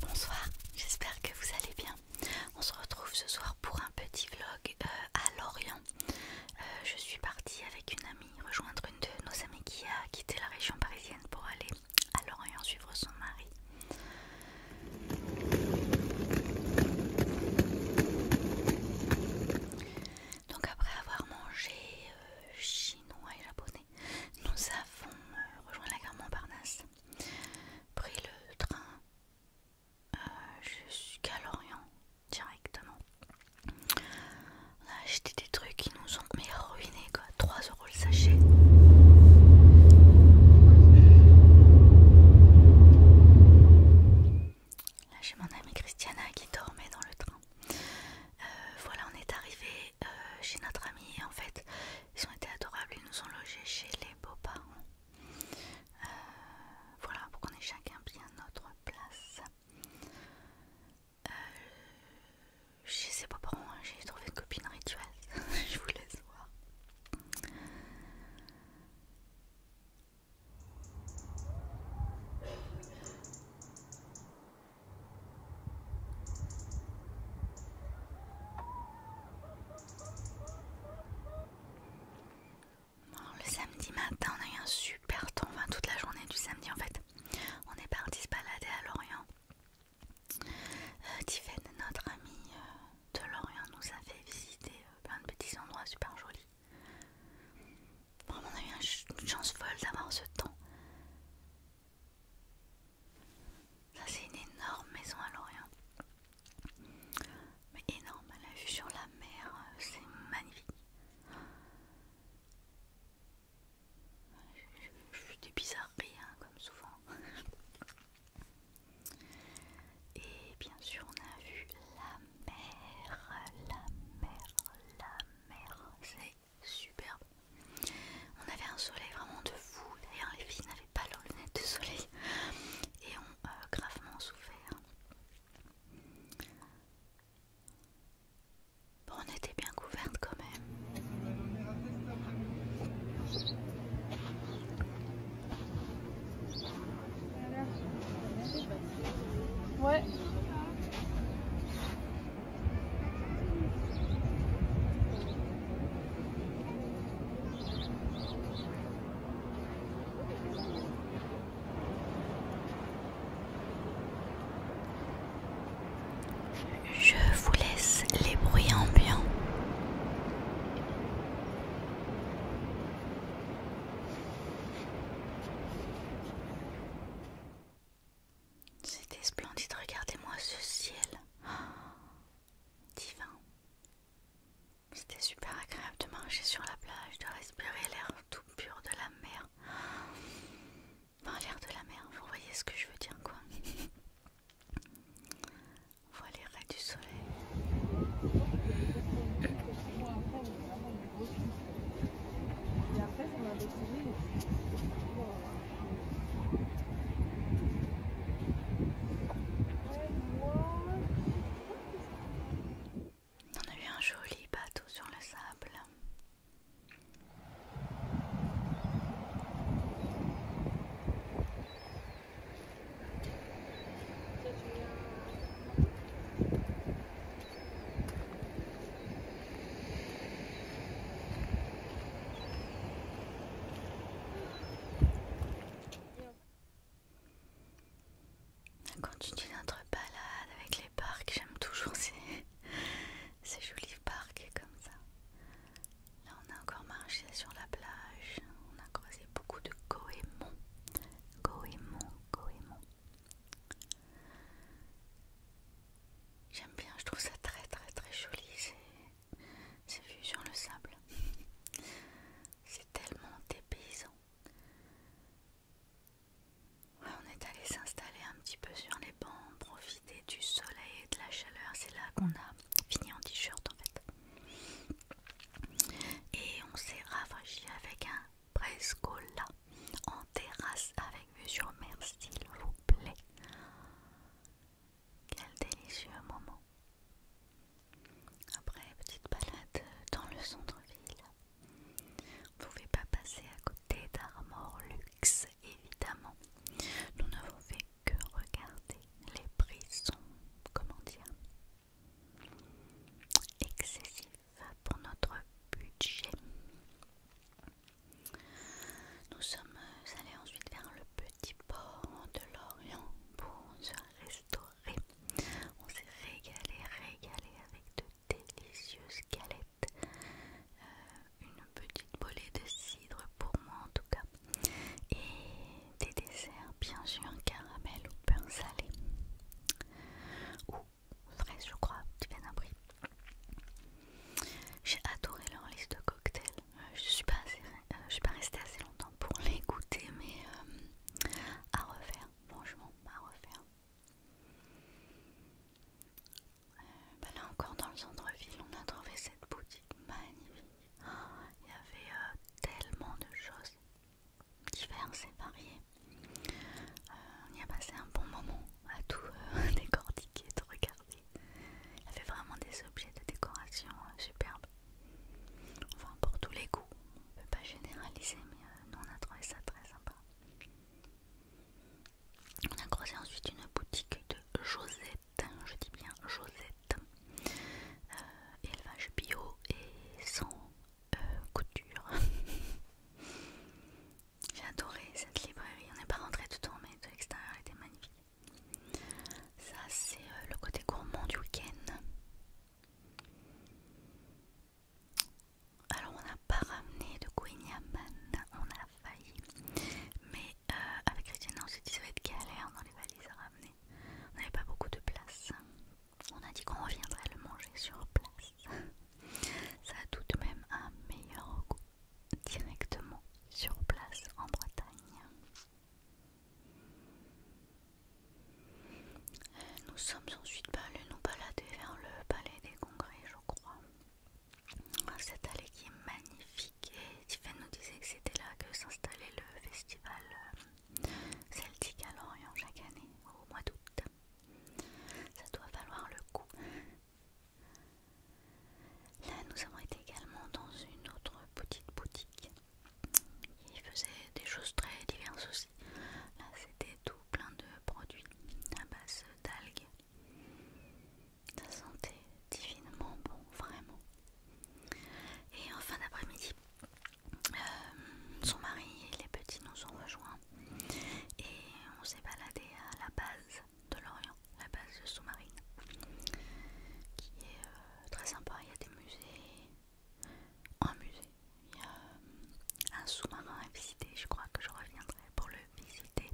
Bonsoir, j'espère que vous allez bien. On se retrouve ce soir pour un petit vlog euh, à Lorient. Euh, je suis partie avec une amie rejoindre une de nos amies qui a quitté la région parisienne pour aller à Lorient suivre son mari. Donc après avoir mangé euh, chinois et japonais, nous avons euh, rejoint la gare Montparnasse, pris le train euh, jusqu'à Lorient directement. On a acheté des trucs qui nous ont à ruinés quoi, 3 euros le sachet. Là j'ai mon amie Christiana qui dormait dans le train. Euh, voilà, on est arrivé euh, chez notre ami en fait, ils ont été adorables. Ils nous ont logés chez les beaux-parents. Euh, voilà, pour qu'on ait chacun bien notre place. chez ses beaux-parents, hein, j'ai trouvé une copine rituelle. Je vous laisse voir le samedi matin, on a eu un super temps, enfin toute la journée du samedi en fait. On est partis se balader à Lorient. Euh, Tiffaine, notre amie euh, de Lorient, nous a fait visiter euh, plein de petits endroits super jolis. Vraiment, on a eu une chance folle d'avoir ce temps. Ça c'est une énorme maison à Lorient. Mais énorme, a vue sur la mer, c'est magnifique. Je suis des bizarres, hein, comme souvent. Et bien sûr, on a vu la mer, la mer, la mer superbe. On avait un soleil vraiment de fou. D'ailleurs, les filles n'avaient pas leurs lunettes de soleil et ont euh, gravement souffert. Bon, on était bien couverte quand même. Ouais. Je vous laisse les bruits ambiants. C'était splendide, regardez-moi ce ciel. divin. C'était super agréable de marcher sur la plage, de respirer l'air tout pur de la mer. Enfin, l'air de la mer, vous voyez ce que je veux dire, quoi. On voit les raies du soleil. Et après, on a découvert. On a eu un joli bateau sur le sable. On continue notre balade avec les parcs. J'aime toujours ces, ces jolis parcs comme ça. Là, on a encore marché sur la plage. On a croisé beaucoup de goémons. Goémons, goémons. J'aime bien, je trouve ça très très très joli c'est vu sur le sable. C'est tellement dépaysant. Ouais, on est allé s'installer un petit peu sur les bancs, profiter du soleil et de la chaleur. C'est là qu'on a fini en t-shirt en fait. Et on s'est rafraîchi avec un presque là, en terrasse avec vue sur mer, s'il vous plaît. Quel délicieux moment. Après, petite balade dans le centre-ville. Vous ne pouvez pas passer à côté d'Armor Luxe, évidemment. Nous n'avons fait que regarder. Les prix sont, comment dire, excessifs pour notre budget. Nous sommes euh, allés ensuite vers le petit port de Lorient pour se restaurer. On s'est régalé, régalé avec de délicieuses galettes, euh, une petite bolée de cidre pour moi en tout cas, et des desserts bien sûr caramel ou pain salé ou fraise, je crois, d'un bruit. J'ai adoré leur liste de cocktails. Euh, euh, je suis pas restée assez longtemps pour les goûter, mais euh, à refaire, franchement, à refaire. Bah là encore dans le centre-ville, on a trouvé cette boutique magnifique. Oh, il y avait tellement de choses Divers, et variées. Euh, on y a passé un bon moment à tout euh, décortiquer, de regarder. Il y avait vraiment des objets de décoration euh, superbes. Enfin, pour tous les goûts, on peut pas généraliser, mais nous on a trouvé ça très sympa. On a croisé ensuite une boutique de Josette, je dis bien Josette, élevage bio et sans euh, couture. J'ai adoré cette librairie. On n'est pas rentré tout en mais de l'extérieur était magnifique. Ça c'est euh, le côté gourmand du week-end. Alors on n'a pas ramené de Guignaman, on a failli. Mais euh, avec Christiane on s'est dit ça va être galère dans les valises à ramener. On n'avait pas beaucoup de place. On a dit qu'on reviendrait le manger sur place. Ça a tout de même un meilleur goût directement sur place en Bretagne. Nous sommes ensuite allés nous balader vers le palais des congrès, je crois. Ah, cette allée qui est magnifique et Tiffany nous disait que c'était là que s'installait le festival euh, celtique à Lorient chaque année au mois d'août. Ça doit valoir le coup. Là, nous avons été également dans une autre petite boutique. Il faisait des choses très diverses aussi. Là, c'était tout plein de produits à base d'algues. Ça sentait divinement bon, vraiment. Et en fin d'après-midi, euh, son mari et les petits nous ont rejoints et on s'est baladé à la base de l'Orient, la base sous-marine, qui est euh, très sympa. Il y a des musées, un musée, il y a euh, un sous-marin à visiter. Je crois que je reviendrai pour le visiter.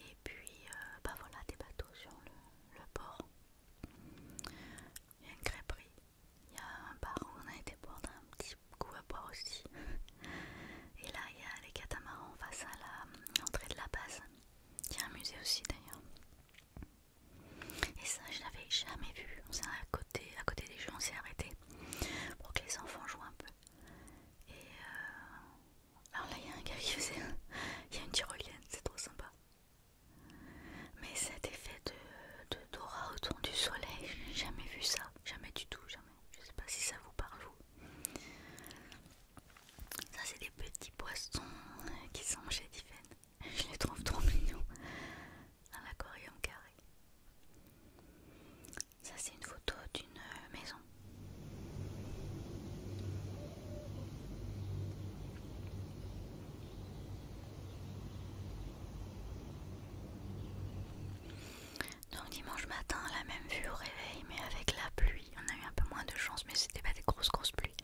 Et puis, bah voilà, des bateaux sur le, port. Il y a une crêperie il y a un bar où on a été boire un petit coup à boire aussi. Et là, il y a les catamarans face à l'entrée euh, de la base. qui est a un musée aussi d'ailleurs. Et ça, je l'avais jamais vu. On s'est à côté, à côté des jeux, on s'est arrêté pour que les enfants jouent un peu. Et euh... alors là, il y a un gars qui faisait, il y a une tyrolienne, c'est trop sympa. Mais cet effet de d'aura autour du soleil, j'ai jamais vu ça, jamais du tout, jamais. Je sais pas si ça vous parle Ça c'est des petits poissons qui sont chez Diven. Je les trouve trop mignons dans l'aquarium carré. Ça c'est une photo d'une maison. Donc dimanche matin, la même vue au réveil, mais avec la pluie. On a eu un peu moins de chance, mais c'était pas des grosses grosses pluies.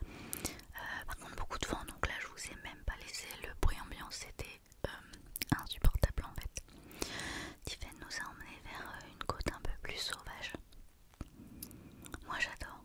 Euh, par contre, beaucoup de vent, donc là je vous ai même pas laissé le bruit ambiant, c'était euh, insupportable en fait. Tiffany nous a emmené vers euh, une côte un peu plus sauvage. Moi j'adore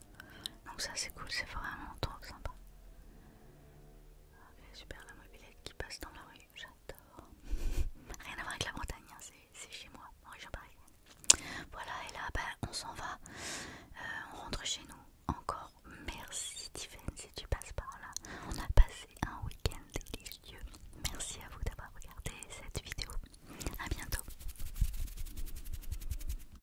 Donc ça c'est cool, c'est vraiment trop sympa. super la mobilette qui passe dans la rue, j'adore. Rien à voir avec la montagne, hein, c'est chez moi, en région parisienne. Voilà et là ben, on s'en va, euh, on rentre chez nous. Encore merci Tiffany si tu passes par là. On a passé un week-end délicieux. Merci à vous d'avoir regardé cette vidéo. A bientôt.